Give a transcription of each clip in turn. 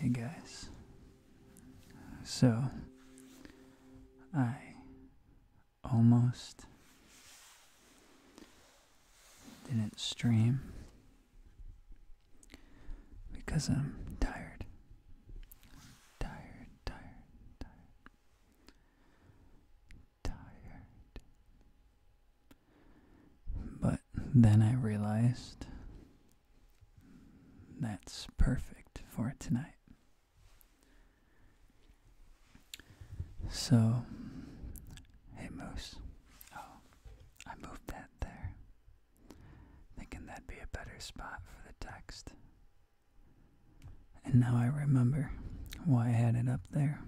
Hey guys. So, I almost didn't stream because I'm tired. Tired, tired, tired. Tired. But then I realized that's perfect for tonight. So, hey Moose. Oh, I moved that there. Thinking that'd be a better spot for the text. And now I remember why I had it up there.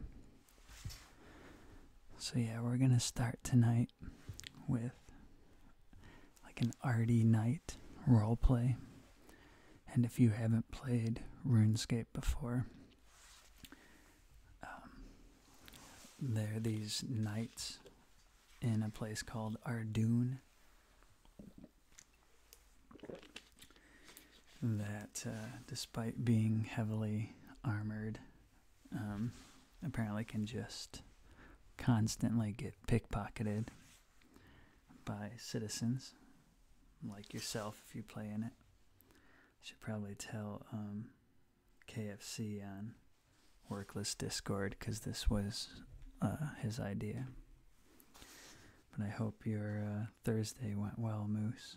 So yeah, we're gonna start tonight with like an arty Knight roleplay, And if you haven't played RuneScape before, um, there are these knights in a place called Ardoon that, uh, despite being heavily armored um, apparently can just constantly get pickpocketed by citizens like yourself if you play in it. Should probably tell um, KFC on Workless Discord because this was uh, his idea. But I hope your uh, Thursday went well, Moose.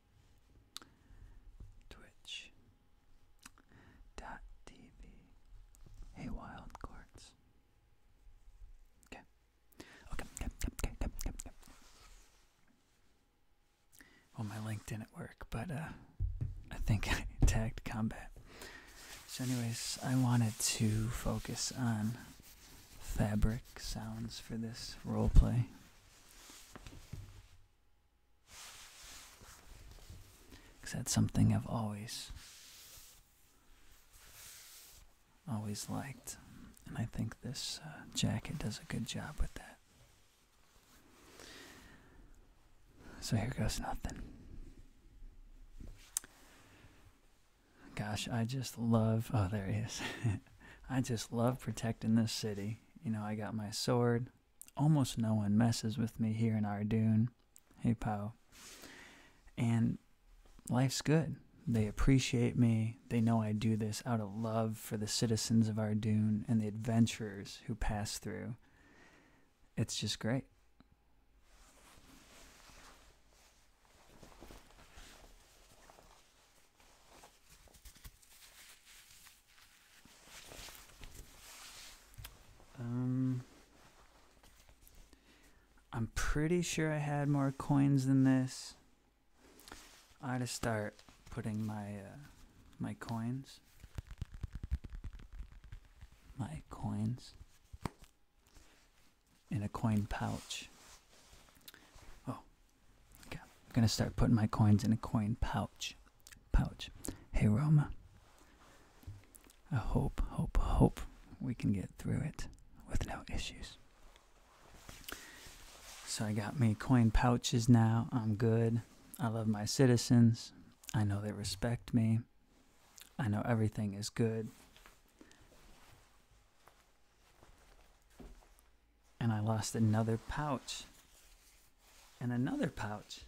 Twitch dot TV. Hey wild Okay, okay, okay, okay, okay, okay. Well my link didn't work, but uh I think I tagged combat. So anyways, I wanted to focus on fabric sounds for this roleplay because that's something I've always, always liked. And I think this uh, jacket does a good job with that. So here goes nothing. Gosh, I just love. Oh, there he is. I just love protecting this city you know, I got my sword. Almost no one messes with me here in Ardoon. Hey, Pow. And life's good. They appreciate me. They know I do this out of love for the citizens of Ardoon and the adventurers who pass through. It's just great. Um, I'm pretty sure I had more coins than this. I gotta start putting my uh, my coins. My coins in a coin pouch. Oh, I'm gonna start putting my coins in a coin pouch. Pouch. Hey Roma. I hope, hope, hope we can get through it with no issues. So I got me coin pouches now. I'm good. I love my citizens. I know they respect me. I know everything is good. And I lost another pouch. And another pouch.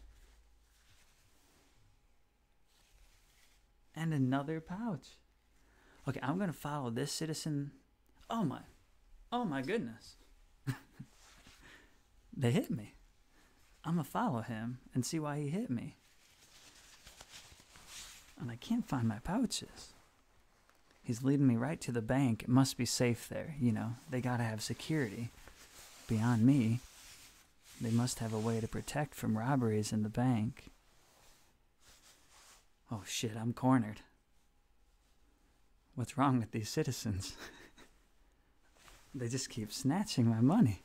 And another pouch. Okay, I'm going to follow this citizen. Oh my. Oh my goodness. they hit me. I'm going to follow him and see why he hit me. And I can't find my pouches. He's leading me right to the bank. It must be safe there, you know. They gotta have security. Beyond me, they must have a way to protect from robberies in the bank. Oh shit, I'm cornered. What's wrong with these citizens? they just keep snatching my money.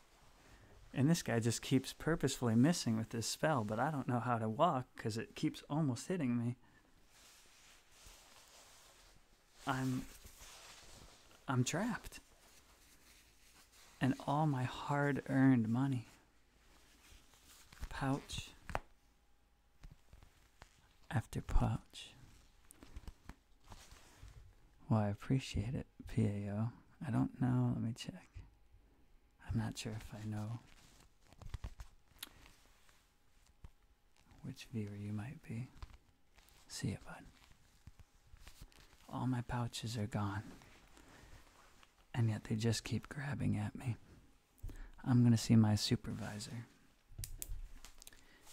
And this guy just keeps purposefully missing with this spell, but I don't know how to walk because it keeps almost hitting me. I'm I'm trapped. And all my hard-earned money. Pouch after pouch. Well, I appreciate it, PAO. I don't know. Let me check. I'm not sure if I know which viewer you might be. See ya, bud. All my pouches are gone, and yet they just keep grabbing at me. I'm gonna see my supervisor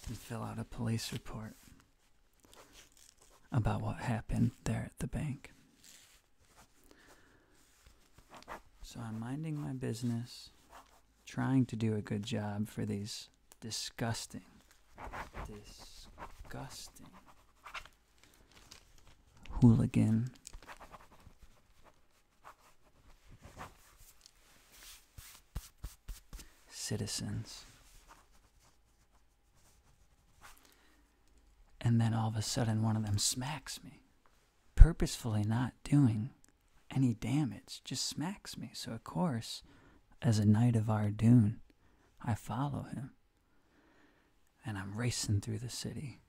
and fill out a police report about what happened there at the bank. So I'm minding my business, trying to do a good job for these disgusting, disgusting hooligan. Citizens. And then all of a sudden, one of them smacks me, purposefully not doing any damage, just smacks me. So, of course, as a knight of Ardoon, I follow him. And I'm racing through the city,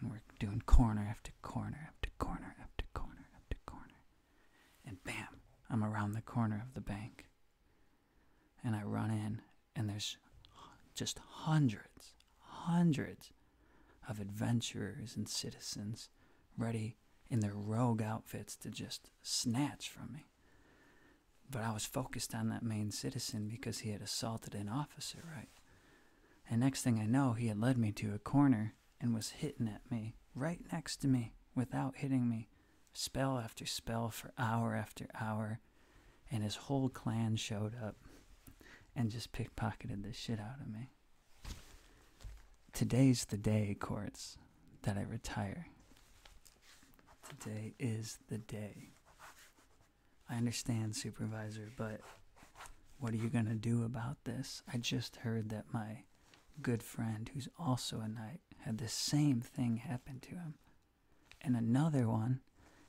and we're doing corner after corner after corner after corner after corner. And bam, I'm around the corner of the bank. And I run in, and there's just hundreds, hundreds of adventurers and citizens ready in their rogue outfits to just snatch from me. But I was focused on that main citizen because he had assaulted an officer, right? And next thing I know, he had led me to a corner and was hitting at me, right next to me, without hitting me, spell after spell for hour after hour. And his whole clan showed up and just pickpocketed the shit out of me. Today's the day, courts, that I retire. Today is the day. I understand, supervisor, but what are you going to do about this? I just heard that my good friend, who's also a knight, had the same thing happen to him. And another one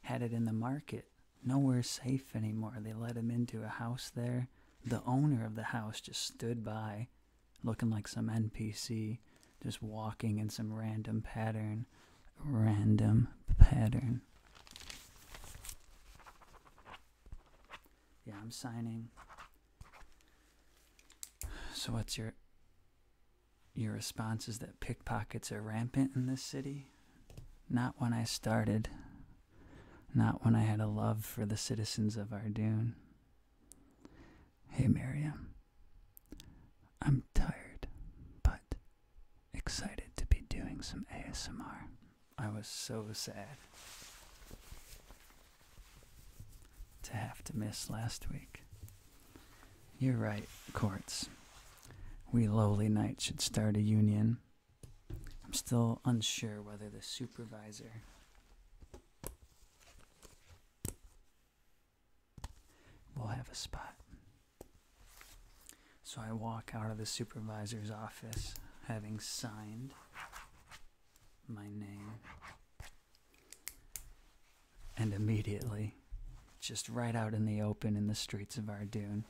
had it in the market nowhere safe anymore. They let him into a house there. The owner of the house just stood by, looking like some NPC, just walking in some random pattern. Random pattern. Yeah, I'm signing. So what's your your response is that pickpockets are rampant in this city? Not when I started not when I had a love for the citizens of Ardoon. Hey, Miriam. I'm tired, but excited to be doing some ASMR. I was so sad to have to miss last week. You're right, courts. We lowly knights should start a union I'm still unsure whether the supervisor will have a spot. So I walk out of the supervisor's office having signed my name. And immediately, just right out in the open in the streets of Ardoon,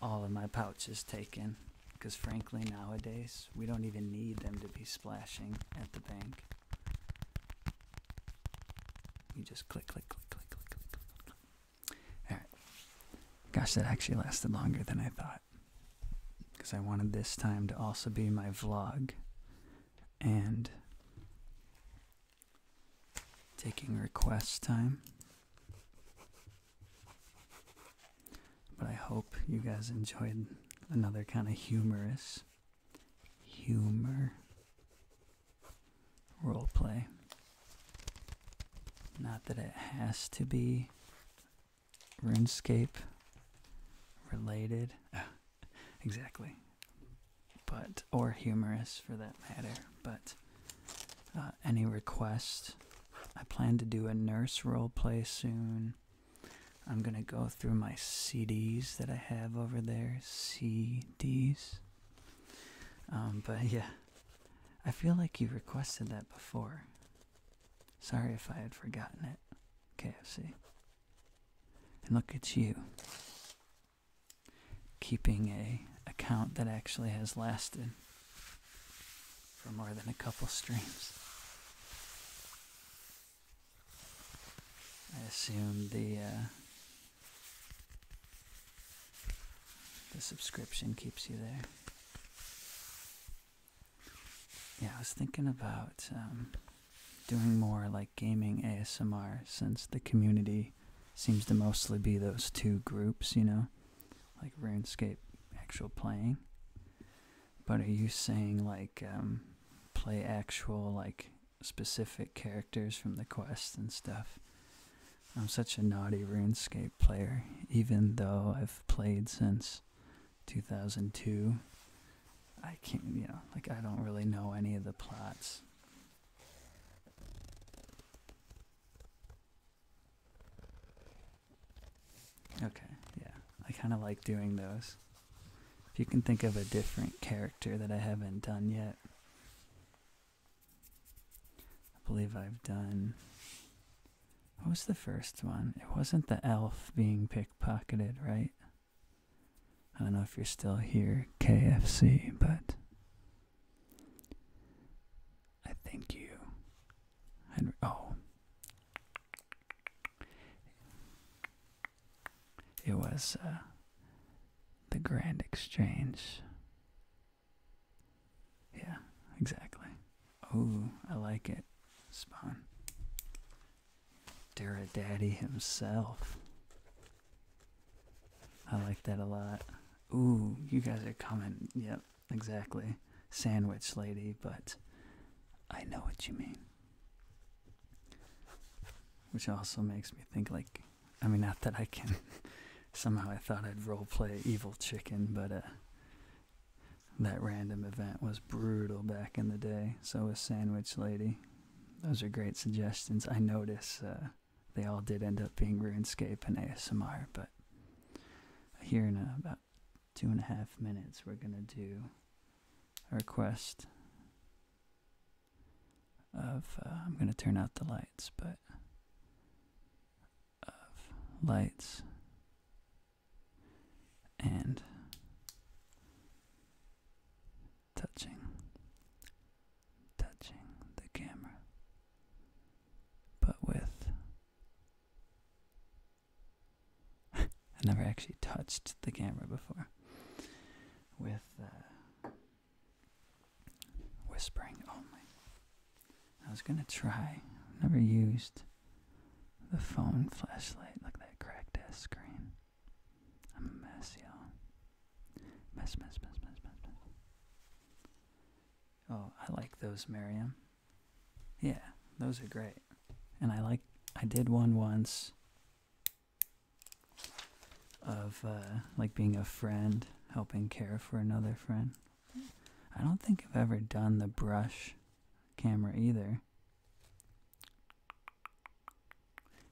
all of my pouches taken because frankly nowadays we don't even need them to be splashing at the bank you just click click click click click click click, click. all right gosh that actually lasted longer than i thought because i wanted this time to also be my vlog and taking request time but I hope you guys enjoyed another kind of humorous humor role play. Not that it has to be RuneScape related. exactly. But or humorous for that matter, but uh, any requests. I plan to do a nurse role play soon. I'm going to go through my CDs that I have over there. CDs. Um, but yeah, I feel like you requested that before. Sorry if I had forgotten it, KFC. And look at you keeping a account that actually has lasted for more than a couple streams. I assume the uh, the subscription keeps you there. Yeah, I was thinking about um, doing more like gaming ASMR since the community seems to mostly be those two groups, you know like RuneScape actual playing. But are you saying like um, play actual like specific characters from the quest and stuff? I'm such a naughty RuneScape player, even though I've played since 2002. I can't, you know, like I don't really know any of the plots. Okay, yeah. I kind of like doing those. If you can think of a different character that I haven't done yet. I believe I've done. What was the first one? It wasn't the elf being pickpocketed, right? I don't know if you're still here, KFC, but I thank you. oh. It was uh, the Grand Exchange. Yeah, exactly. Oh, I like it. Spawn. Dura Daddy himself. I like that a lot. Ooh, you guys are coming. Yep, exactly. Sandwich lady, but I know what you mean. Which also makes me think, like, I mean, not that I can. Somehow I thought I'd role play Evil Chicken, but uh, that random event was brutal back in the day. So was Sandwich Lady. Those are great suggestions. I notice uh, they all did end up being RuneScape and ASMR, but here in about two and a half minutes, we're going to do a request of, uh, I'm going to turn out the lights, but of lights and touching touching the camera, but with. I never actually touched the camera before. With uh, whispering only. I was gonna try, never used the phone flashlight. like that cracked ass screen. I'm a mess, y'all. Mess, mess, mess, mess, mess, mess. Oh, I like those, Miriam. Yeah, those are great. And I like, I did one once of uh, like being a friend, helping care for another friend. I don't think I've ever done the brush camera either.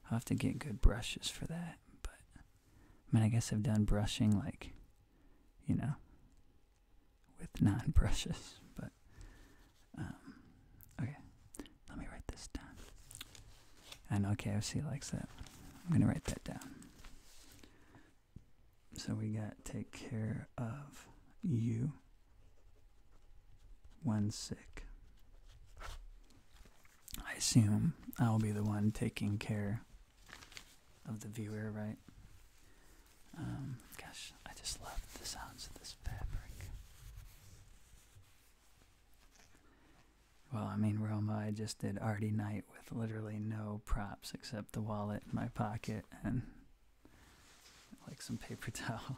I'll have to get good brushes for that, but I mean, I guess I've done brushing, like, you know, with non brushes, but, um, okay, let me write this down. I know likes that. I'm gonna write that down. So we got take care of you when sick. I assume I'll be the one taking care of the viewer, right? Um, gosh, I just love the sounds of this fabric. Well, I mean, Roma, I just did Artie Night with literally no props except the wallet in my pocket and like some paper towel.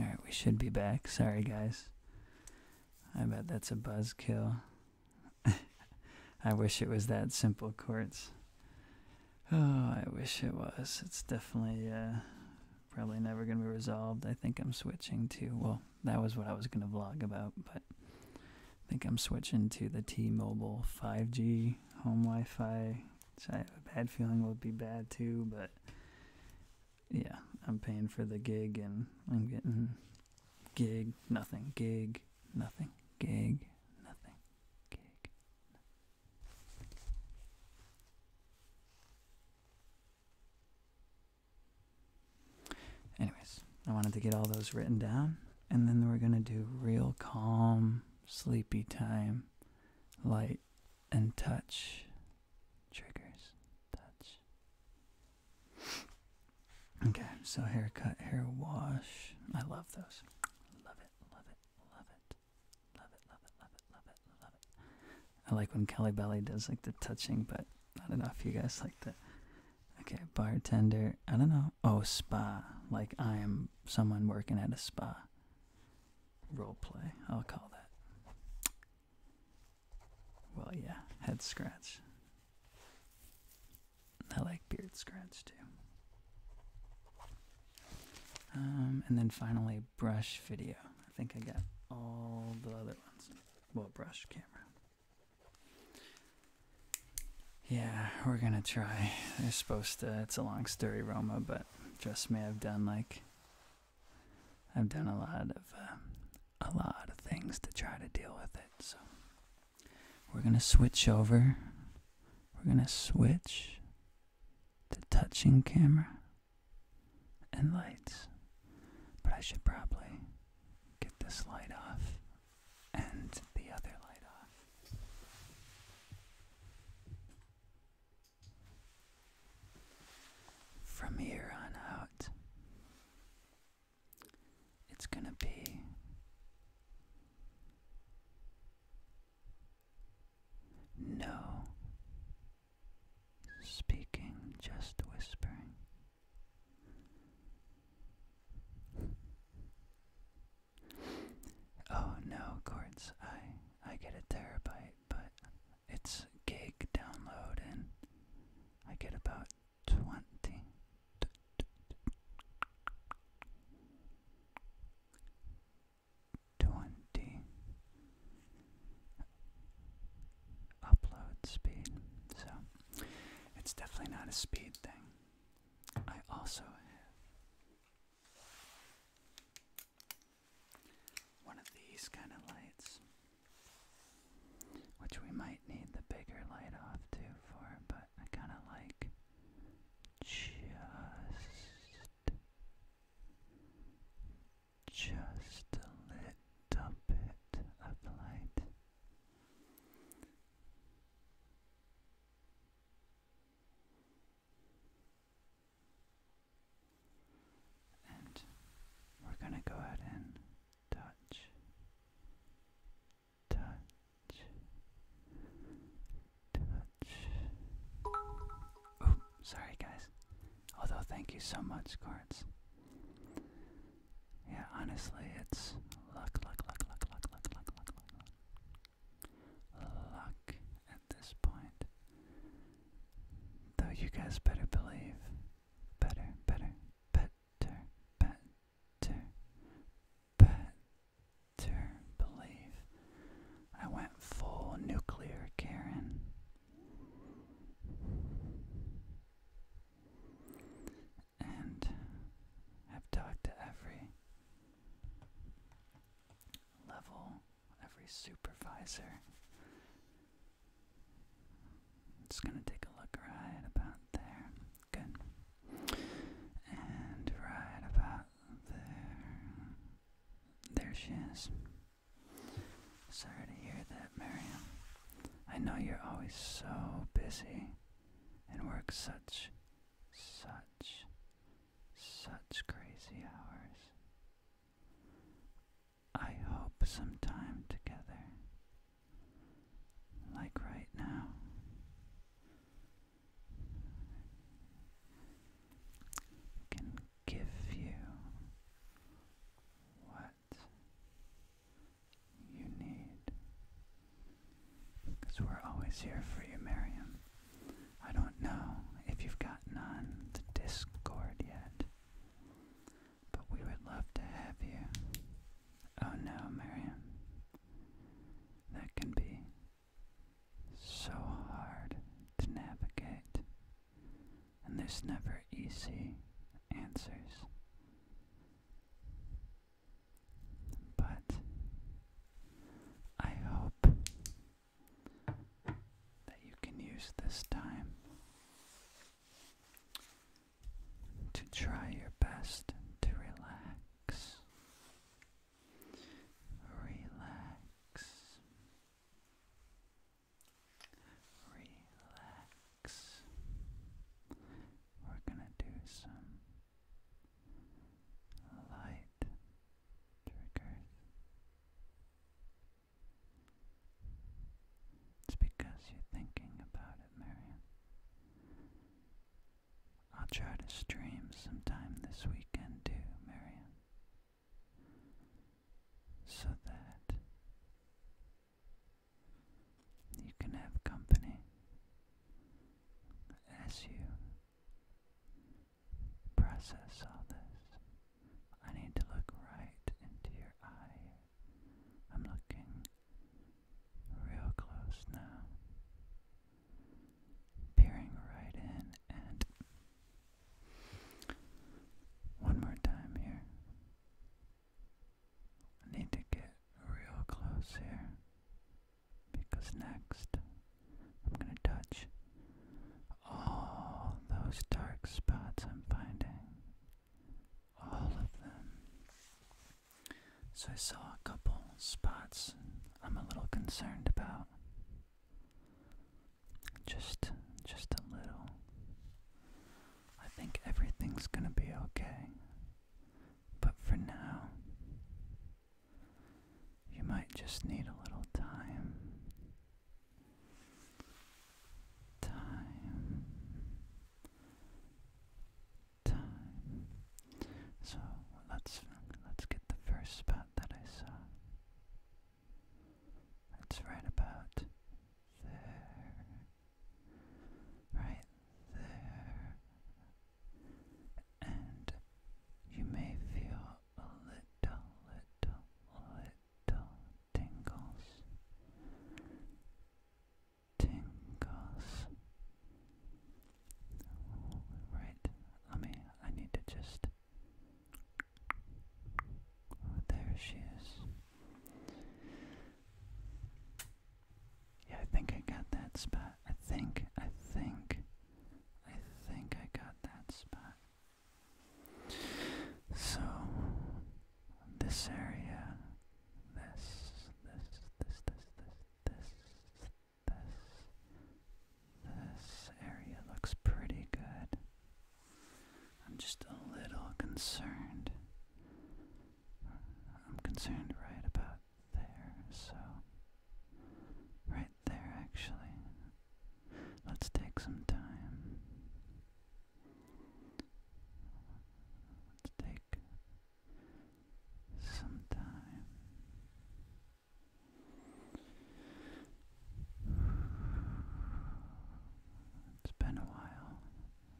Alright, we should be back. Sorry, guys. I bet that's a buzzkill. I wish it was that simple, Quartz. Oh, I wish it was. It's definitely uh, probably never going to be resolved. I think I'm switching to, well, that was what I was going to vlog about, but I think I'm switching to the T-Mobile 5G home Wi-Fi, which I have a bad feeling it will be bad too, but yeah, I'm paying for the gig and I'm getting gig, nothing, gig, nothing, gig, nothing, gig. Anyways, I wanted to get all those written down, and then we're going to do real calm, sleepy time, light, and touch triggers. Touch. Okay, so haircut, hair wash. I love those. Love it, love it, love it. Love it, love it, love it, love it, love it. I like when Kelly Belly does like the touching, but not enough. you guys like the Okay, bartender. I don't know. Oh, spa. Like I am someone working at a spa. Role play. I'll call that. Well, yeah, head scratch. I like Beard scratch too. Um, and then finally, brush video. I think I got all the other ones. Well, brush camera. Yeah, we're gonna try. They're supposed to. It's a long story, Roma, but trust me, I've done like. I've done a lot of uh, a lot of things to try to deal with it. So we're gonna switch over. We're gonna switch the touching camera and lights. But I should probably get this light off and the other light off. From here on out, it's going to be no. Speaking, just whispering. Oh no, Quartz, I I get a terabyte, but it's gig download and I get about twenty twenty upload speed. So it's definitely not a speed thing. I also have one of these kind of lights, which we might need the bigger light off too for, but I kind of like just just a little bit of light. And we're going to go ahead and touch touch, touch. Ooh, sorry guys. Although thank you so much, cards. Yeah, honestly, it's luck, luck, luck, luck, luck, luck, luck, luck, luck, luck. Luck at this point. Though you guys better believe, better, better, better, better, better believe I went full nuclear, Karen. And have talked to every level, every supervisor. Just gonna take a look right about there. Good. And right about there. There she is. Sorry to hear that, Miriam. I know you're always so busy and work such, such, such crazy hours. I hope some time together, like right now, can give you what you need. Because we're always here for you, Miriam. I don't know if you've gotten on the Discord yet, but we would love to have you. Oh no, Miriam. That can be so hard to navigate, and there's never easy answers. But I hope that you can use this time to try your best to relax relax, relax. We're gonna do some light triggers. It's because you're thinking about it, Miriam. I'll try to stream sometime this weekend too, Marion. So that you can have company as you process all this. I need to look right into your eye. I'm looking real close now peering right in and one more time here. I need to get real close here because next I'm going to touch all those dark spots I'm finding. All of them. So I saw a couple spots I'm a little concerned about. Just just a little. I think everything's gonna be okay. But for now, you might just need a little time. Time. So let's let's get the first spot that I saw. It's right about there. Right there. And you may feel a little, little, little tingles. Tingles. Right, let me, I need to just, oh, there she is. Yeah, I think I got that spot. I think, I think, I think I got that spot. So, this area, this, this, this, this, this, this, this, this area looks pretty good. I'm just a little concerned. I'm concerned right about there, so right there actually. Let's take some time. Let's take Sometimes It's been a while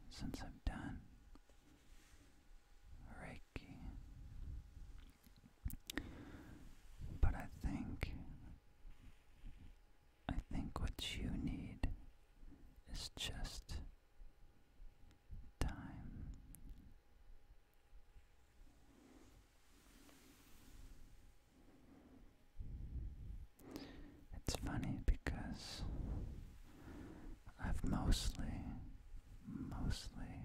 since I've done Reiki, but I think I think what you need is just time it's funny because I've mostly, mostly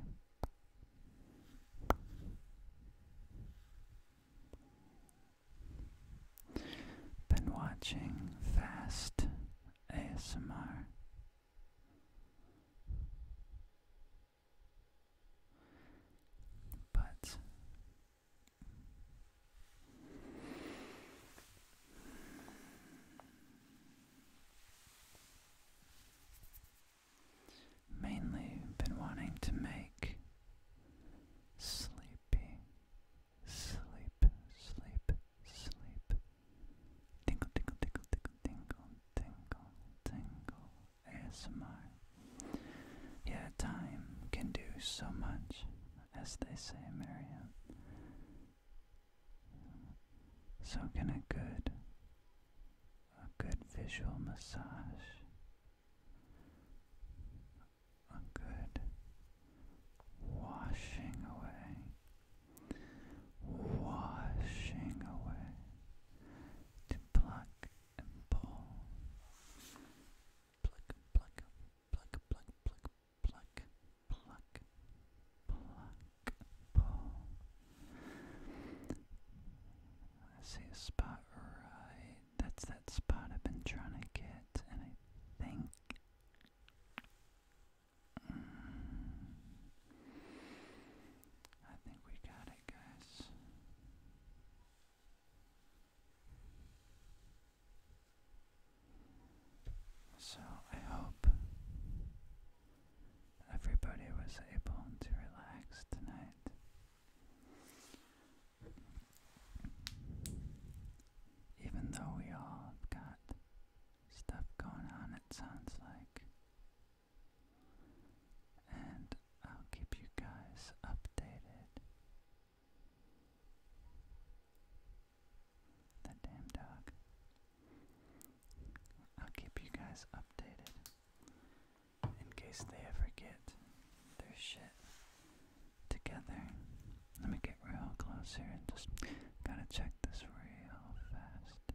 been watching fast ASMR but mainly been wanting to make sleepy sleep sleep sleep Tingle, tingle, tingle, tingle, tingle, tingle, tingle, ASMR. Yeah, time can do so much, as they say, Miriam. So can a good, a good visual massage, a good washing away washing away to pluck and pull. Pluck, pluck, pluck, pluck, pluck, pluck, pluck, pluck, pull. I see a spot right. That's that spot I've been trying to get, and I think I think we got it, guys. So I hope everybody was able to relax tonight. Even though we all got stuff going on, it sounds like. And I'll keep you guys updated. That damn dog. I'll keep you guys updated in case they ever get their shit together. Let me get real close here and just gotta check this real fast.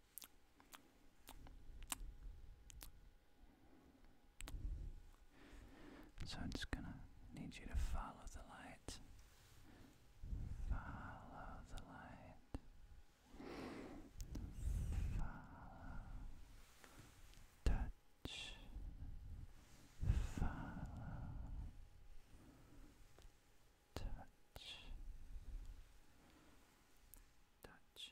So I'm just going to need you to follow the light. Follow the light. Follow. Touch. Follow. Touch. Touch.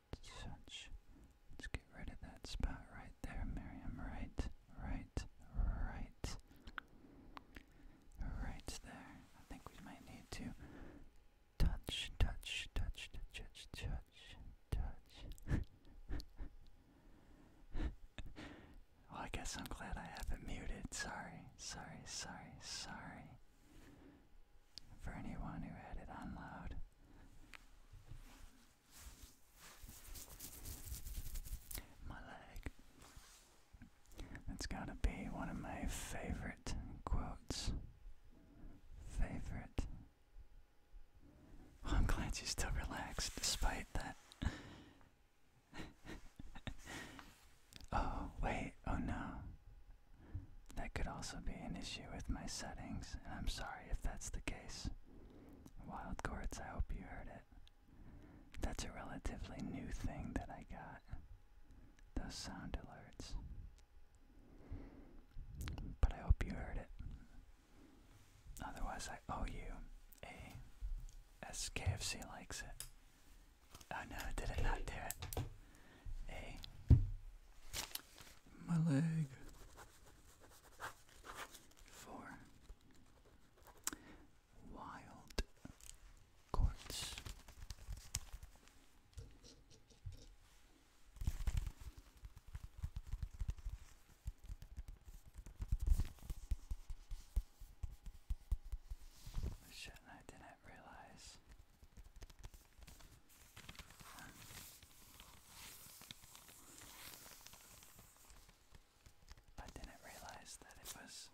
Let's get rid of that spot right there, Miriam. Right, right, right. Right there. I think we might need to touch, touch, touch, touch, touch, touch, well, I guess I'm glad I have it muted. Sorry, sorry, sorry, sorry. For anyone who had it on loud. My leg. That's gotta be one of my favorite quotes. Favorite. I'm glad you still relaxed despite that. oh, wait, oh no. That could also be an issue with my settings, and I'm sorry if that's the case. Wild gourds, I hope you heard it. That's a relatively new thing that I got. Those sound alerts. But I hope you heard it. Otherwise, I owe you a. SKFC likes it. Oh no, did it not do A. My leg. Four wild courts. Shit, I didn't realize I didn't realize that it was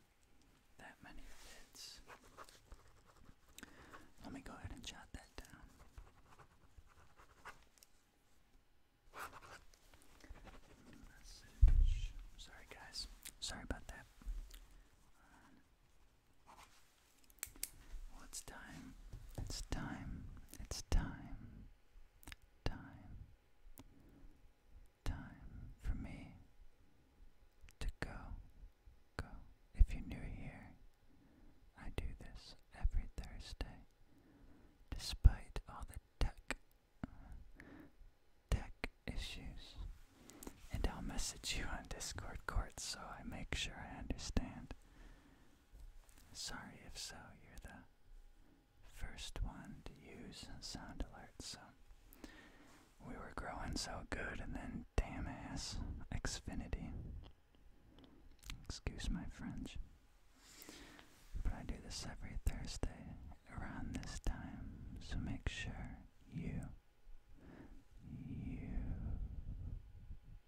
that many bits. Let me go ahead and jot that down. Sorry, guys. Sorry about that it's time. It's time. It's time. Time. Time for me to go. Go. If you're new here, I do this every Thursday. Despite all the tech, tech issues, and I'll message you on Discord courts so I make sure I understand. Sorry if so, you're the first one to use sound alerts, so we were growing so good and then damn ass Xfinity. Excuse my French. But I do this every Thursday around this time, so make sure you you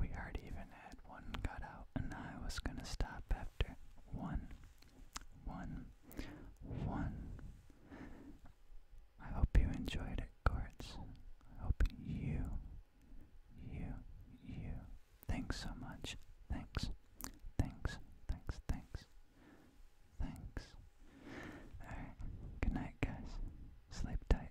we already even had one cut out, and I was gonna stop after one, one, one. I hope you enjoyed it, Courts. I hope you, you, you. Thanks so much. Thanks. Thanks. Thanks. Thanks. Thanks. Alright. Good night, guys. Sleep tight.